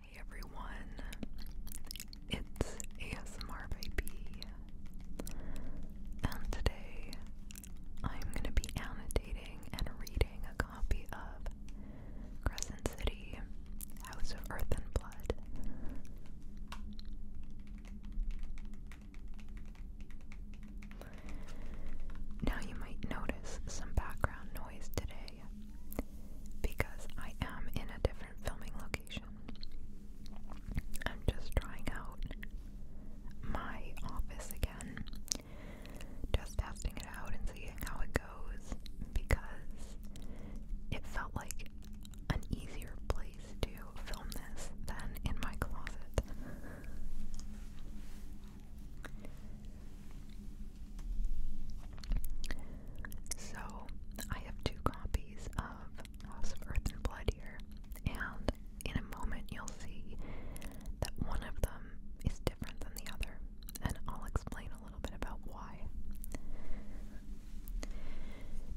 Hey everyone, it's ASMR Baby, and today I'm going to be annotating and reading a copy of Crescent City House of Earth and Blood. Now you might notice some background noise today because I am in a different filming location. I'm just trying out my office again, just testing it out and seeing how it goes because it felt like an easier place to film this than in my closet. So, I have two copies of House of Earth and Blood here, and in a moment you'll see that one of them is different than the other, and I'll explain a little bit about why.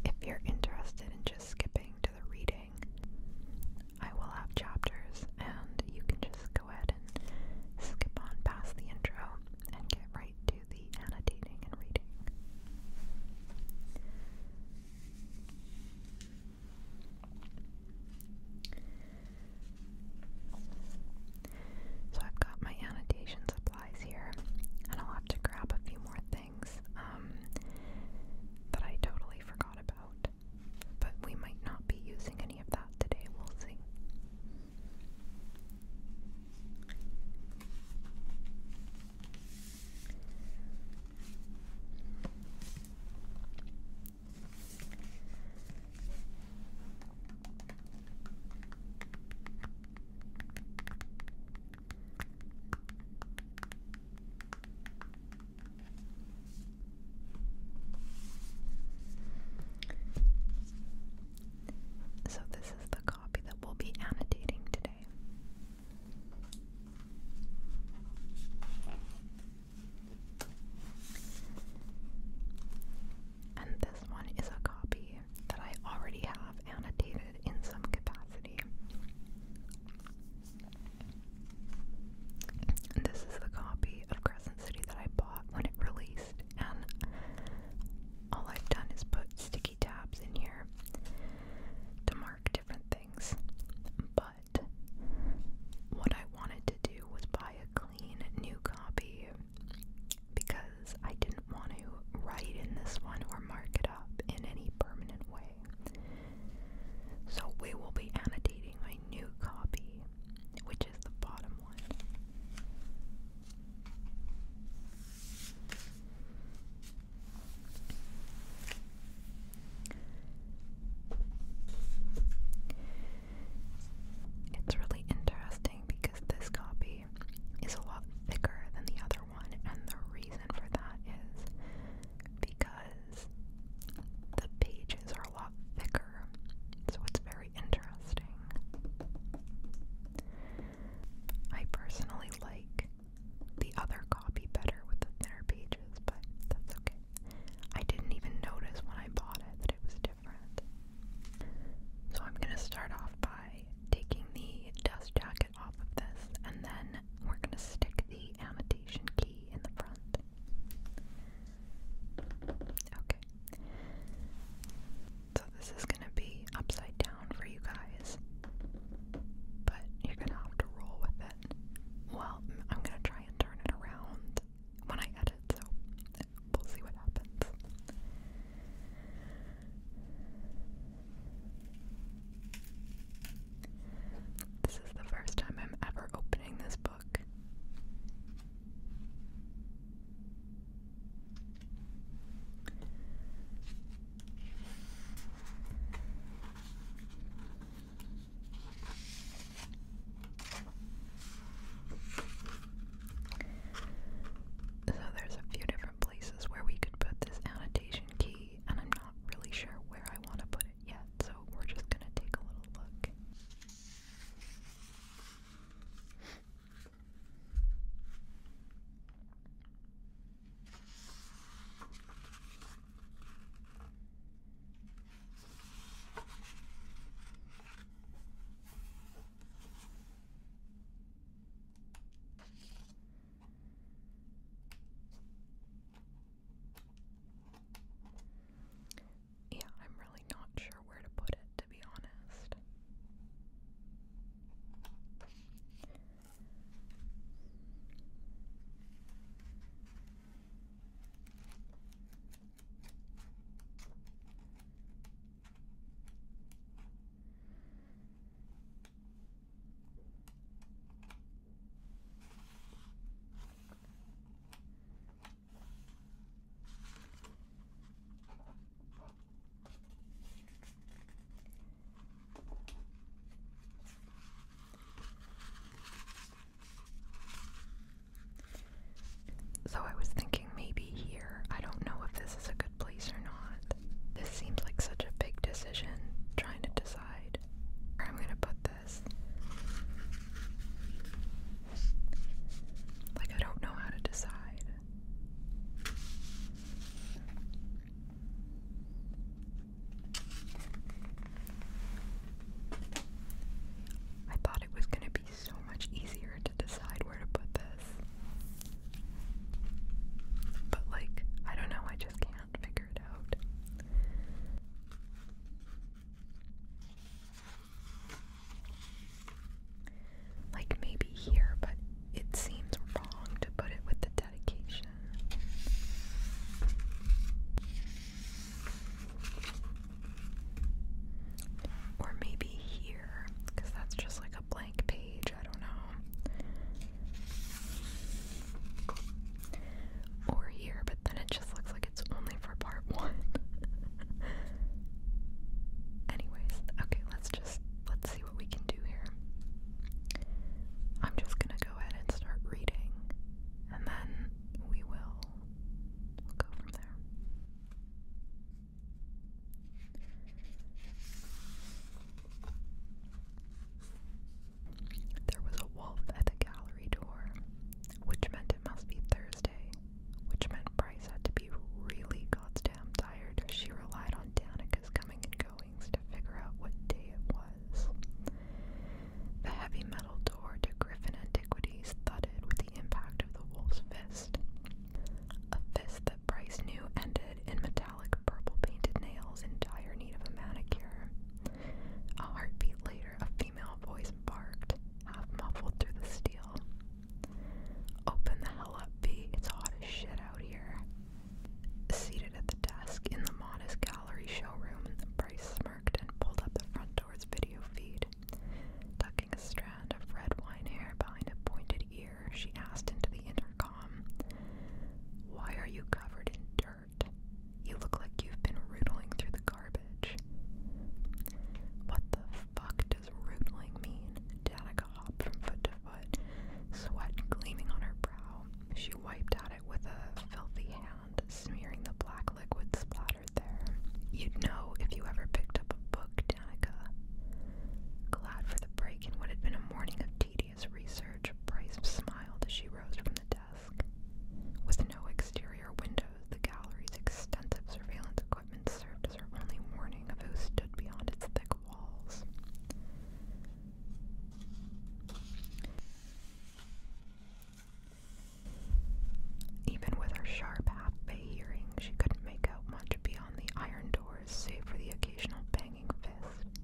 If you're interested in just skipping to the reading, I will have chapters, and you can just go go ahead and skip on past the intro and get right to the annotating and reading. So I've got my annotation supplies here, and I'll have to grab a few more things um, that I totally forgot about, but we might not be using any of that today. We'll see. So, this is the copy that we'll be annotating today. And this one is a copy that I already have annotated in some capacity. this is the copy of Crescent City that I bought when it released and all I've done is put sticky tabs in here to mark different things. But what I wanted to do was buy a clean new copy because I didn't want to write in this one or mark it up in any permanent way. So we will be annotating a new copy, which is the bottom one. It's really interesting because this copy is a lot thicker than the other one, and the reason for that is because the pages are a lot thicker, so it's very interesting. I personally like the other copy better with the thinner pages, but that's okay. I didn't even notice when I bought it that it was different. So I'm going to start off by taking the dust jacket off of this, and then we're going to stick the annotation key in the front. Okay. So this is gonna be upside down for you guys. But you're gonna have to roll with it. Well, I'm gonna try and turn it around when I edit, so we'll see what happens. This is the first time I'm ever opening this book. So there's a few different places where we could put this annotation key, and I'm not really sure where I want to put it yet, so we're just going to take a little look. Yeah, I'm really not sure where to put it to be honest. So I was thinking maybe here. I don't know if this is a good place or not. This seems like such a big decision trying to decide where I'm going to put this. Like I don't know how to decide. I thought it was going to be so much easier to decide where to put this. But, like, I don't know, I just can't figure it out. Like maybe here, but it seems wrong to put it with the dedication. Or maybe here, because that's just like a blank page, I don't know. Or here, but then it just looks like it's only for part one. Anyways, okay, let's just let's see what we can do here. I'm just gonna go ahead and start reading, and then we will go from there. There was a wolf at the gallery door, which meant it must be Thursday, which meant Price had to be really goddamn tired. She relied on Danica's coming and goings to figure out what day it was. The heavy metal door to Griffin Antiquities thudded with the impact of the wolf's fist. A fist that Price knew ended in metallic purple painted nails in dire need of a manicure. A heartbeat later, a female voice barked, half muffled through the steel. Open the hell up, B. It's hot as shit out here. Seated at the desk in the modest gallery showroom, Bryce smirked and pulled up the front door's video feed. Tucking a strand of red wine hair behind a pointed ear, she asked into the intercom, Why are you covered in dirt? You look like you've been rootling through the garbage. What the fuck does mean? Danica hopped from foot to foot, sweat gleaming on her brow. She wiped at it with a filthy hand, smearing the black liquid splattered there. You'd know if you ever picked up a book, Danica. Glad for the break in what had been a morning of tedious research, Bryce smiled as she rose from the desk. With no exterior windows, the gallery's extensive surveillance equipment served as her only warning of who stood beyond its thick walls. Even with her sharp half-bay hearing, she couldn't make out much beyond the iron doors, save for the occasional banging fist.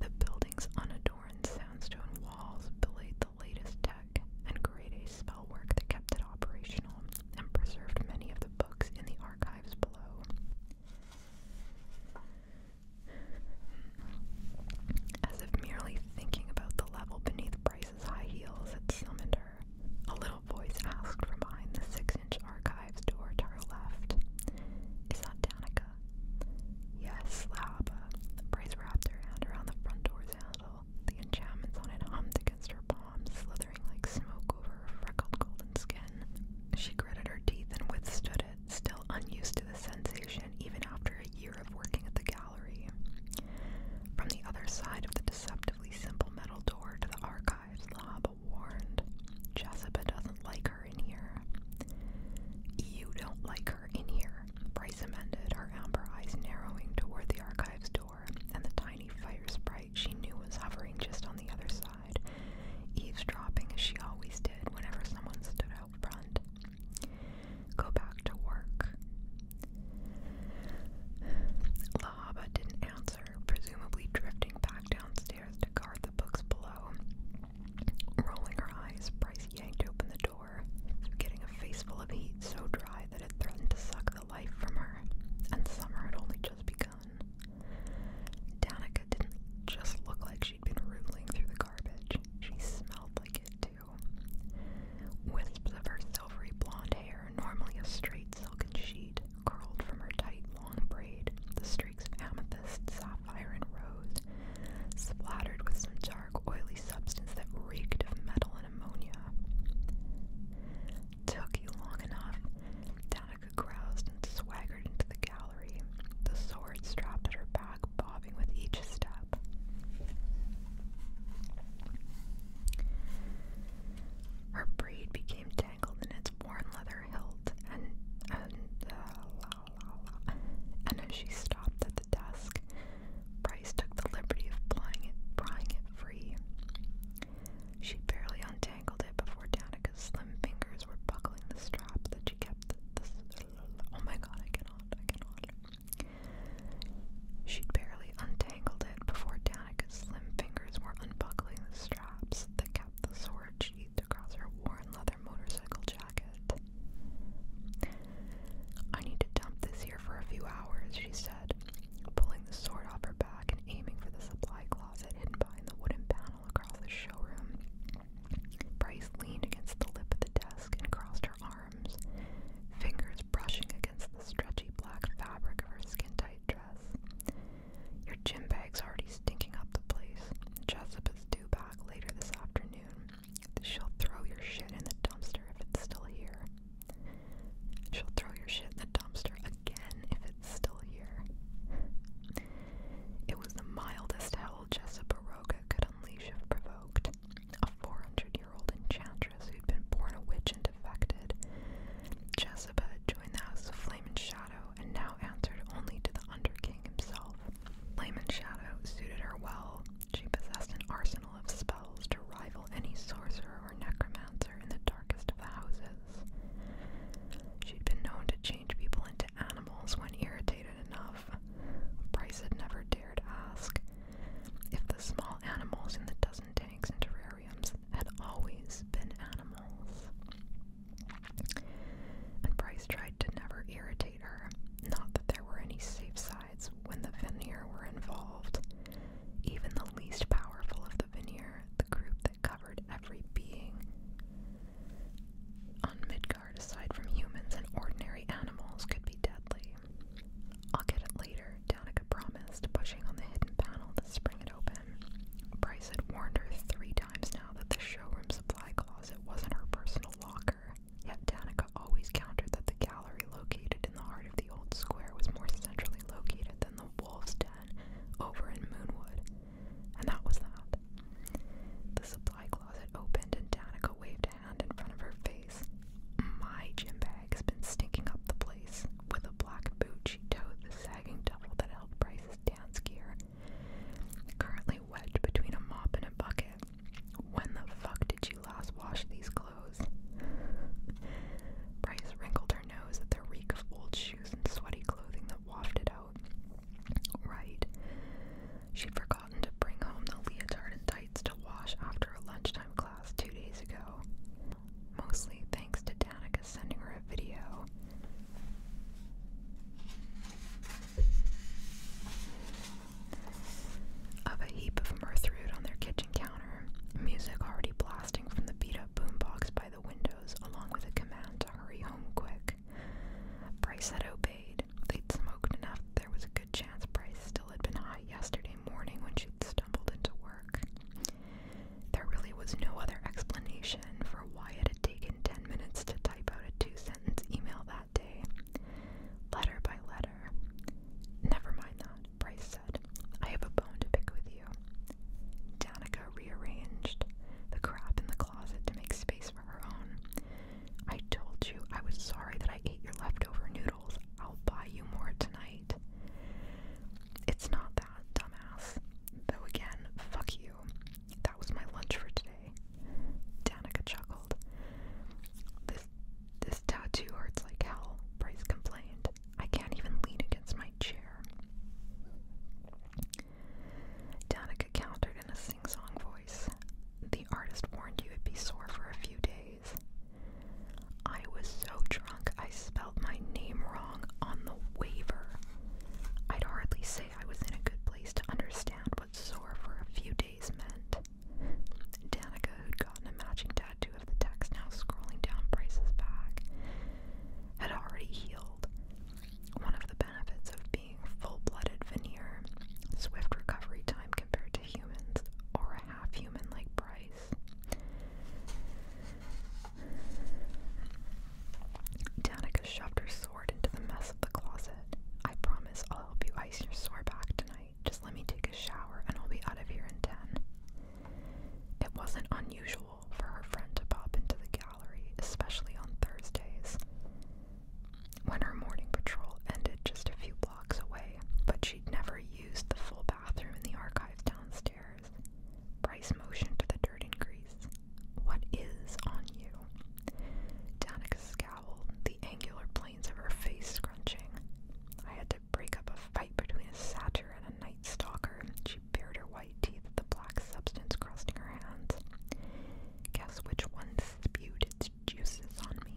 The building's unadorned sandstone walls belayed the latest tech and carried spell that kept it operational and preserved many of the books in the archives below. As if merely thinking about the level beneath Bryce's high heels had summoned her, a little voice asked from behind the six inch archives door to her left Is that Danica? Yes, Laba. Bryce wrapped her hand around the front door's handle. The enchantments on it hummed against her palm slithering like smoke over freckled golden skin. She gritted her teeth and withstood it, still unused to the sensation even after a year of working at the gallery. From the other side of the deceptively simple metal door to the archives, Lahaba warned, Jessica doesn't like her in here. You don't like her in here, Bryce amended, her amber eyes narrowing toward the archives door and the tiny fire spread she knew was hovering just on the other side, eavesdropping as she always did whenever someone stood out front. Go back to work. Lahaba didn't answer, presumably drifting back downstairs to guard the books below. Rolling her eyes, Bryce yanked open the door, getting a face of heat so dry that it threatened to suck life from her, and summer had only just begun. Danica didn't just look like she'd been rootling through the garbage, she smelled like it too. Wisps of her silvery blonde hair, normally a straight silken sheet, curled from her tight long braid, the streaks of amethyst, sapphire, and rose, splattered with some dark, oily substance that reeked of metal and ammonia took you long enough. Danica groused and swaggered into the gallery, the sword strapped at her back, bobbing with each step. Her braid became tangled in its worn leather hilt, and and uh, as she stopped at the desk, Bryce took the liberty of prying it, prying it free. She barely untangled it before Danica's slim fingers were buckling the strap that she kept. This, oh my god, I cannot, I cannot. She'd barely untangled it before Danica's slim fingers were unbuckling the straps that kept the sword sheathed across her worn leather motorcycle jacket. I need to dump this here for a few hours, she said pulling the sword off her back and aiming for the supply closet hidden behind the wooden panel across the showroom. Bryce leaned against the lip of the desk and crossed her arms, fingers brushing against the stretchy black fabric of her skin tight dress. Your gym bag's already stinking up the place. Jessup is due back later this afternoon. She'll throw your shit in the dumpster if it's still here. She'll throw your shit in the dumpster again if it's still here. It was the mildest hell Jessa Baroka could unleash if provoked. A 400 year old enchantress who'd been born a witch and defected. Jessica joined the Flame and Shadow and now answered only to the Underking himself. Flame and Shadow suited her well. She possessed an arsenal of spells to rival any sorcerer sorcerer necromancer in the darkest of houses. She'd been known to change people into animals when irritated enough. Price had never dared ask if the small animals in the dozen tanks and terrariums had always been animals. And Bryce tried to never irritate her, not that there were any safe sides when the veneer were involved. Even the least powerful of the veneer the group that covered every being on Midgard aside from humans and ordinary animals could be deadly. I'll get it later, Danica promised, pushing on the hidden panel to spring it open. Bryce had warned her three times now that the showroom supply closet wasn't her personal locker, yet Danica always countered that the gallery located in the heart of the old square was more centrally located than the Wolf's Den over in Moonwood. And that was that. The supply closet opened and Danica waved a hand in front of her face. My gym bag's been stinking up the place. With a black boot, she toed the sagging double that held Bryce's dance gear, currently wedged between a mop and a bucket. When the fuck did you last wash these clothes. wrinkled her nose at the reek of old shoes and sweaty clothing that wafted out. Right. She'd forgotten to bring home the leotard and tights to wash after a lunchtime class two days ago. Mostly thanks to Danica sending her a video. Of a heap of mirth on their kitchen counter counter, music already blasting from the beat up boombox by the windows, along with a command to hurry home quick. Price had obeyed. They'd smoked enough there was a good chance Price still had been high yesterday morning when she'd stumbled into work. There really was no other explanation for why it had taken ten minutes to type out a two sentence email that day. Letter by letter. Never mind that, Price said. I have a bone to pick with you. Danica rearranged the crap in the closet to make space for her own. I told you I was sorry that I ate your leftover noodles. I'll buy you more tonight. It's not that, dumbass. Though again, fuck you. That was my lunch for today. Danica chuckled. This this tattoo hurts like hell, Bryce complained. I can't even lean against my chair. Danica countered in a sing song voice. The artist warned you it'd be sore for a few days. I was so drunk I spelled my name wrong on the waiver. I'd hardly say I was in a good place to understand what sore for a few days meant. Danica, had gotten a matching tattoo, tattoo of the text now scrolling down Bryce's back had already healed. One of the benefits of being full blooded veneer, swift recovery time compared to humans, or a half human like Bryce. Danica shoved her sword into the mess of the closet. I promise I'll help you ice your sore back tonight. Just let me take a shower and I'll be out of here in ten. It wasn't unusual for her friend to pop into the gallery, especially on Thursdays. When her morning patrol ended just a few blocks away, but she'd never used the full bathroom in the archives downstairs. Bryce motioned to the dirt and grease. What is on you? Danica scowled, the angular planes of her face scrunching. I had break up a fight between a satyr and a night stalker. She bared her white teeth at the black substance crusting her hands. Guess which one spewed its juices on me?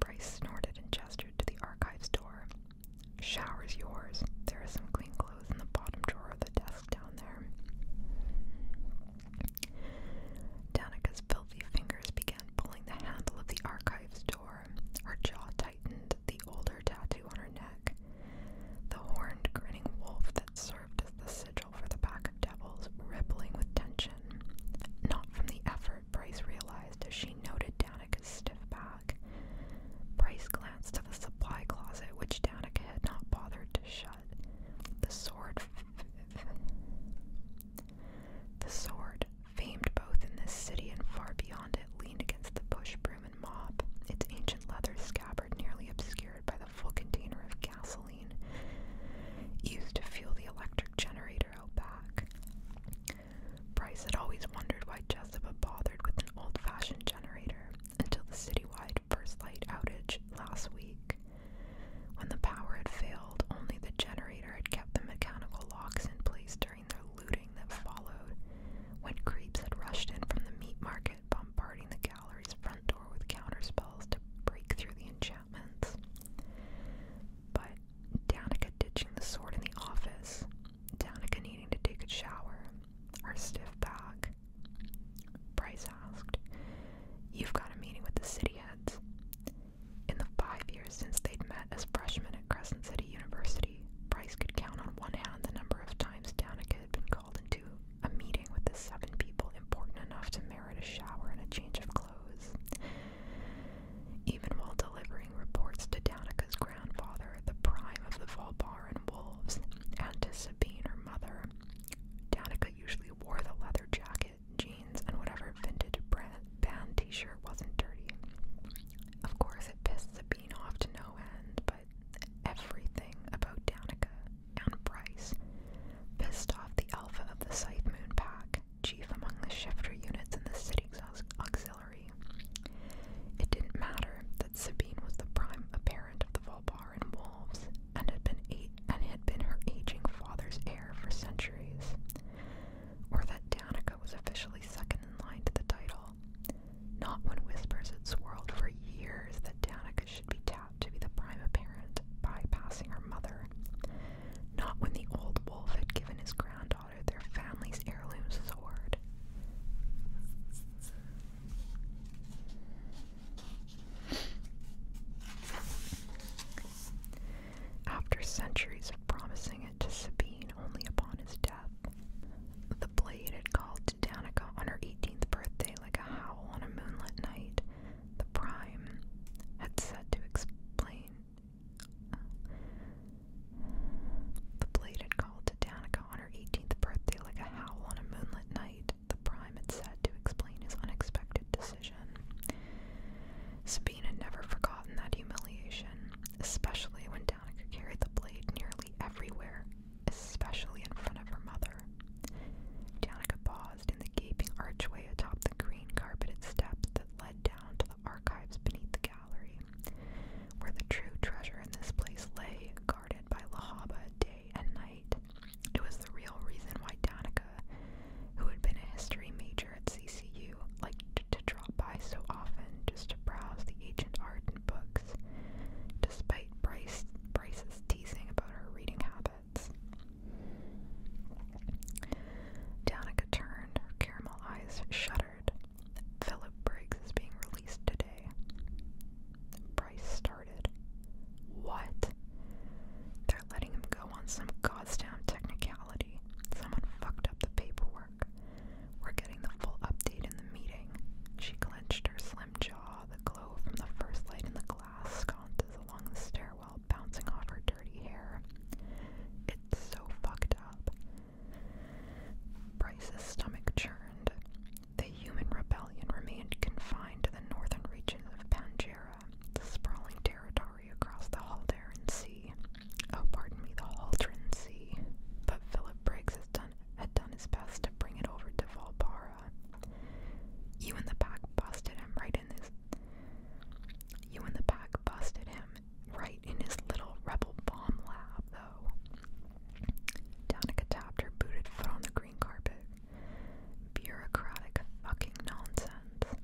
Bryce snorted and gestured to the archives door. Shower's yours. There are some clean clothes in the bottom drawer of the desk down there. Danica's filthy fingers began pulling the handle of the archives door. Her jaw tightened the older tattoo on her neck. The horned, grinning wolf that served as the sigil for the pack of devils, rippling with tension. Not from the effort, Bryce realized as she noted Danica's stiff back. Bryce glanced to the supply closet, which Danica had not bothered to shut. The sword. The sword Famed both in this city and far beyond it, leaned against the bush broom and mop, its ancient leather scabbard nearly obscured by the full container of gasoline used to fuel the electric generator out back. Bryce had always wondered why Jessica bothered with an old fashioned generator until the citywide first light outage last week. When the power had failed, only the generator had kept the mechanical locks in place during the looting that followed, when creeps had rushed in from the meat market, bombarding the gallery's front door with counterspells to break through the enchantments. But Danica ditching the sword in the office, Danica needing to take a shower, our stiff back. Bryce asked, You've got a meeting with the city heads. In the five years since they'd met as freshmen at Crescent City University, Price could count on one hand the number of times Danica had been called into a meeting with the seven people important enough to merit a shower and a change of clothes. Even while delivering reports to Danica's grandfather, the prime of the Volbaran wolves, and to Sabine, her mother, Danica usually wore the leather jacket, jeans, and whatever vintage brand band t-shirt wasn't dirty. Of course, it pissed Sabine off to no end, but everything about Danica and Bryce pissed off the alpha of the Scythe Moon Pack, chief among the shifter units in the city's auxiliary. It didn't matter that Sabine was the prime apparent of the Volbaran wolves and had been eight, and had been her aging father's heir for centuries, or that Danica was officially second in line to the title. Not when whispers had swirled for years that Danica should be tapped to be the prime apparent, bypassing her mother. Not when the old wolf had given his granddaughter their family's heirloom sword. After centuries of promising to Sabine only upon his death. The blade had called to Danica on her 18th birthday like a howl on a moonlit night. The prime had said to explain. the blade had called to Danica on her 18th birthday like a howl on a moonlit night. The prime had said to explain his unexpected decision. Sabine had never forgotten that humiliation, especially when Danica carried the blade nearly everywhere, especially in front of her mother. Danica paused in the gaping archway atop the green carpeted steps that led down to the archives beneath the gallery, where the true treasure in this place lay, guarded by Lahaba day and night. It was the real reason why Danica, who had been a history major at CCU, like to drop by so often just to browse the ancient art and books, despite Bryce Bryce's teasing about her reading habits. Danica turned, her caramel eyes shuddered. Philip Briggs is being released today. Bryce started. What? They're letting him go on some goddamn technicality. Someone fucked up the paperwork. We're getting the full update in the meeting. She clenched her slim jaw, the glow from the first light in the glass sconces along the stairwell bouncing off her dirty hair. It's so fucked up. Bryce's stomach churned. The human rebellion remained confined to the northern region of Panjera, the sprawling territory across the Haldaran Sea. Oh, pardon me, the Haltron Sea. But Philip Briggs has done, had done his best to bring it over to Valbara. You in the pack busted him right in his. You in the pack busted him right in his little rebel bomb lab, though. Danica tapped her booted foot on the green carpet. Bureaucratic fucking nonsense.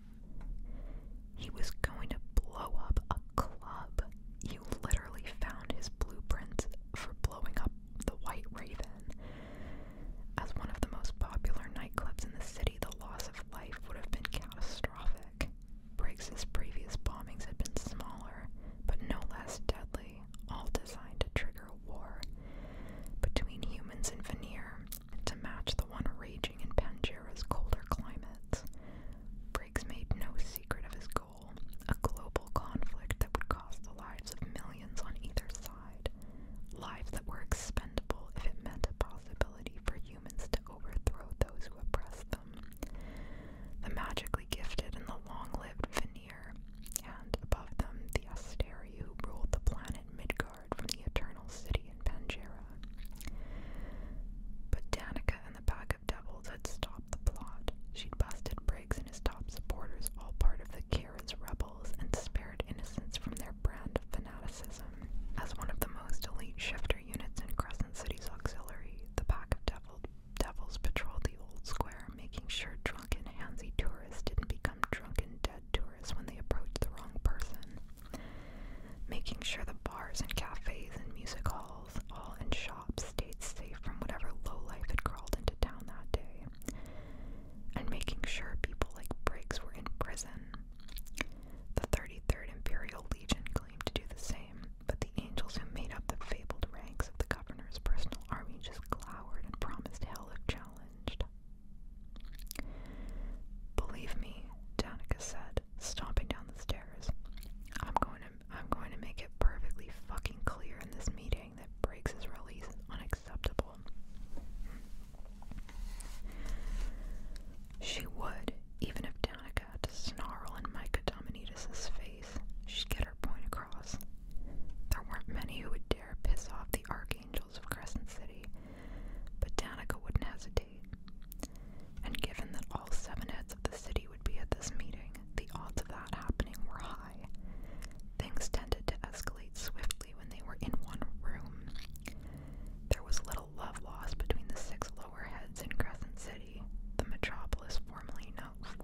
He was going to blow up a club. You literally found his blueprint for blowing up the White Raven. As one of the most popular nightclubs in the city, the loss of life would have been catastrophic. Briggs's previous bombings had been smaller, but no less deadly, all designed to trigger a war between humans and veneer to match the one raging in Panjera's colder climates. Briggs made no secret of his goal a global conflict that would cost the lives of millions on either side, lives that were expendable if it meant a possibility for humans to overthrow those who oppressed them. The magically gifted and the long lived veneer, and above them the Asteri who ruled the planet Midgard from the Eternal City in Panjera. But Danica the pack of devils had stopped the plot. She'd busted Briggs and his top supporters, all part of the Karen's rebels, and spared innocents from their brand of fanaticism. As one of the most elite shifter units in Crescent City's auxiliary, the pack of Devils devils patrolled the old square, making sure drunken handsy tourists didn't become drunken dead tourists when they approached the wrong person. Making sure the bars and cafes and music halls all in shops, stayed safe from whatever lowlife had crawled into town that day, and making sure people like Briggs were in prison. The 33rd Imperial Legion claimed to do the same, but the angels who made up the fabled ranks of the governor's personal army just glowered and promised hell if challenged. Believe me, Danica said, stomping down the stairs, I'm going to I'm going to make it perfectly fucking clear in this meeting that breaks his release is unacceptable. She would, even if Danica had to snarl in Micah Dominidis' face, she'd get her point across. There weren't many who would dare piss off the archangels of Crescent City, but Danica wouldn't hesitate and given that all seven heads of the city would be at this meeting, the odds of that happening were high. Things tended to escalate swiftly when they were in one room. There was little love lost between the six lower heads in Crescent City, the metropolis formerly,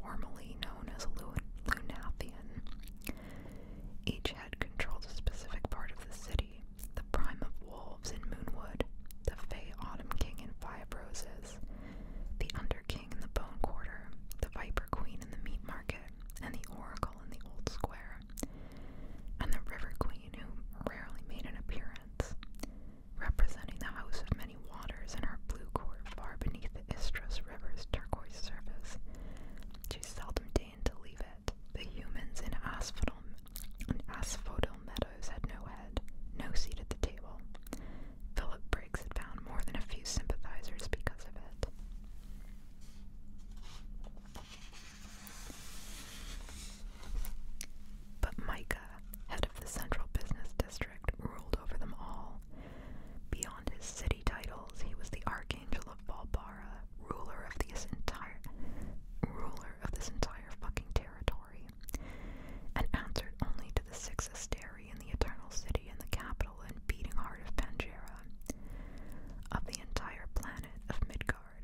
formerly known as Lunathian. Each head controlled a specific part of the city, the prime of wool in Moonwood, the Fey Autumn King and Five Roses, the Under King in the Bone Quarter, the Viper Queen and the Meat Market, and the Oracle in the Old Square, and the River Queen, who rarely made an appearance, representing the House of Many Waters in her blue court far beneath the Istros River's turquoise surface. She seldom deigned to leave it. The humans in Asphodel and Asphodel Meadows had no head, no seat at the table. Philip Briggs had found more than a few sympathizers because of it. But Micah, head of the Central Business District, ruled over them all. Beyond his city titles, he was the Archangel of Balbara, ruler of this entire ruler of this entire fucking territory and answered only to the six asteri in the Eternal City and the capital and beating heart of Panjera, of the entire planet of Midgard.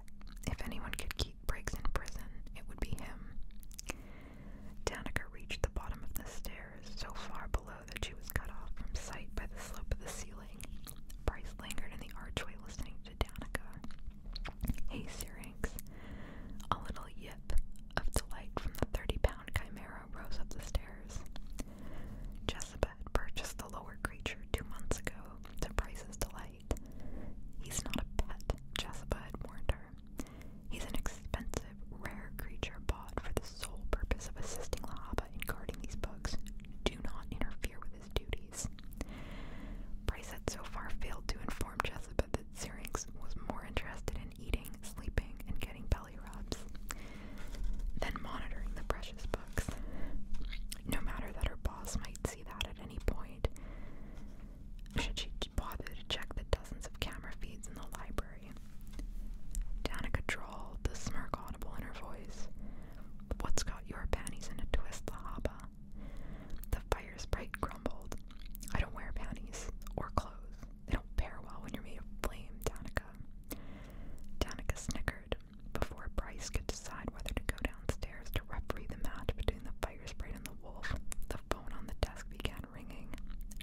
If anyone could keep Briggs in prison, it would be him. Danica reached the bottom of the stairs, so far below that she was cut off from sight by the slope of the ceiling. Bryce lingered in the archway listening to Danica. Hey Syrinx. A little yip of delight from the thirty-pound chimera rose up the stairs. Jezebet purchased the lower creature two months ago to Bryce's delight. He's not a pet, Jezebet warned her. He's an expensive, rare creature bought for the sole purpose of assisting Lahaba in guarding these bugs. Do not interfere with his duties. Bryce had so far failed to inform Jezebet that was more interested in eating, sleeping, and getting belly rubs than monitoring the precious books. No matter that her boss might see that at any point, should she bother to check the dozens of camera feeds in the library? Danica drawled, the smirk audible in her voice. What's got your panties in a twist, Lahaba? The fire sprite grumbled. I don't wear panties or clothes. They don't pair well when you're made of flame, Danica. Danica snickered before Bryce could decide whether to go downstairs to referee the match between the fire sprite and the wolf. The phone on the desk began ringing.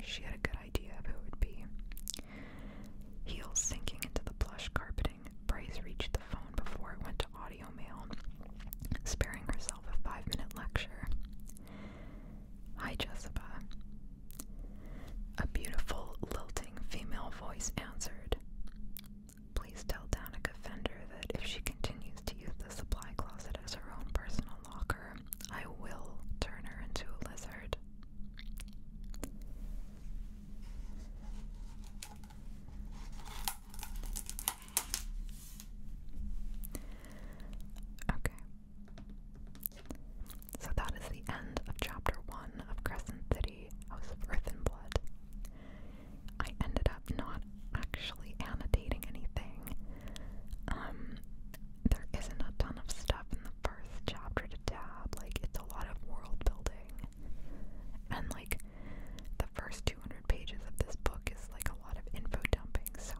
She had a good idea of who it would be. Heels sinking into the plush carpeting, Bryce reached the phone before it went off audio mail, sparing herself a five minute lecture. Hi, Jessica. A beautiful, lilting female voice answered. Please tell Danica Fender that if she continues to use the supply closet as her own personal locker, I will turn her into a lizard. Okay. So that is the end of chapter one of Crescent City, House of Earth and Blood. I ended up not actually annotating anything. Um, there isn't a ton of stuff in the first chapter to tab. Like, it's a lot of world building. And, like, the first two. 200 pages of this book is like a lot of info dumping, so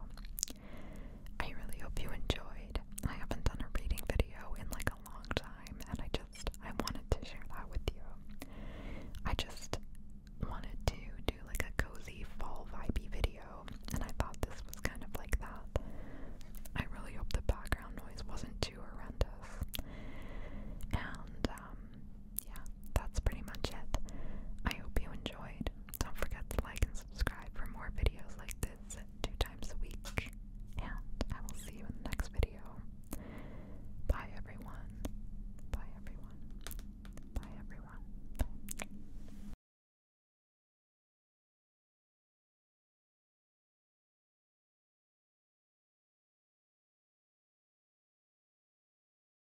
I really hope you enjoyed. I haven't done a reading video in like a long time, and I just I wanted to share that with you. I just wanted to do like a cozy fall vibey video, and I thought this was kind of like that. I really hope the background noise wasn't too horrendous. And um, yeah, that's pretty much it. I hope you enjoyed. Don't forget to like and subscribe for more videos like this two times a week. And I will see you in the next video. Bye, everyone. Bye, everyone. Bye, everyone.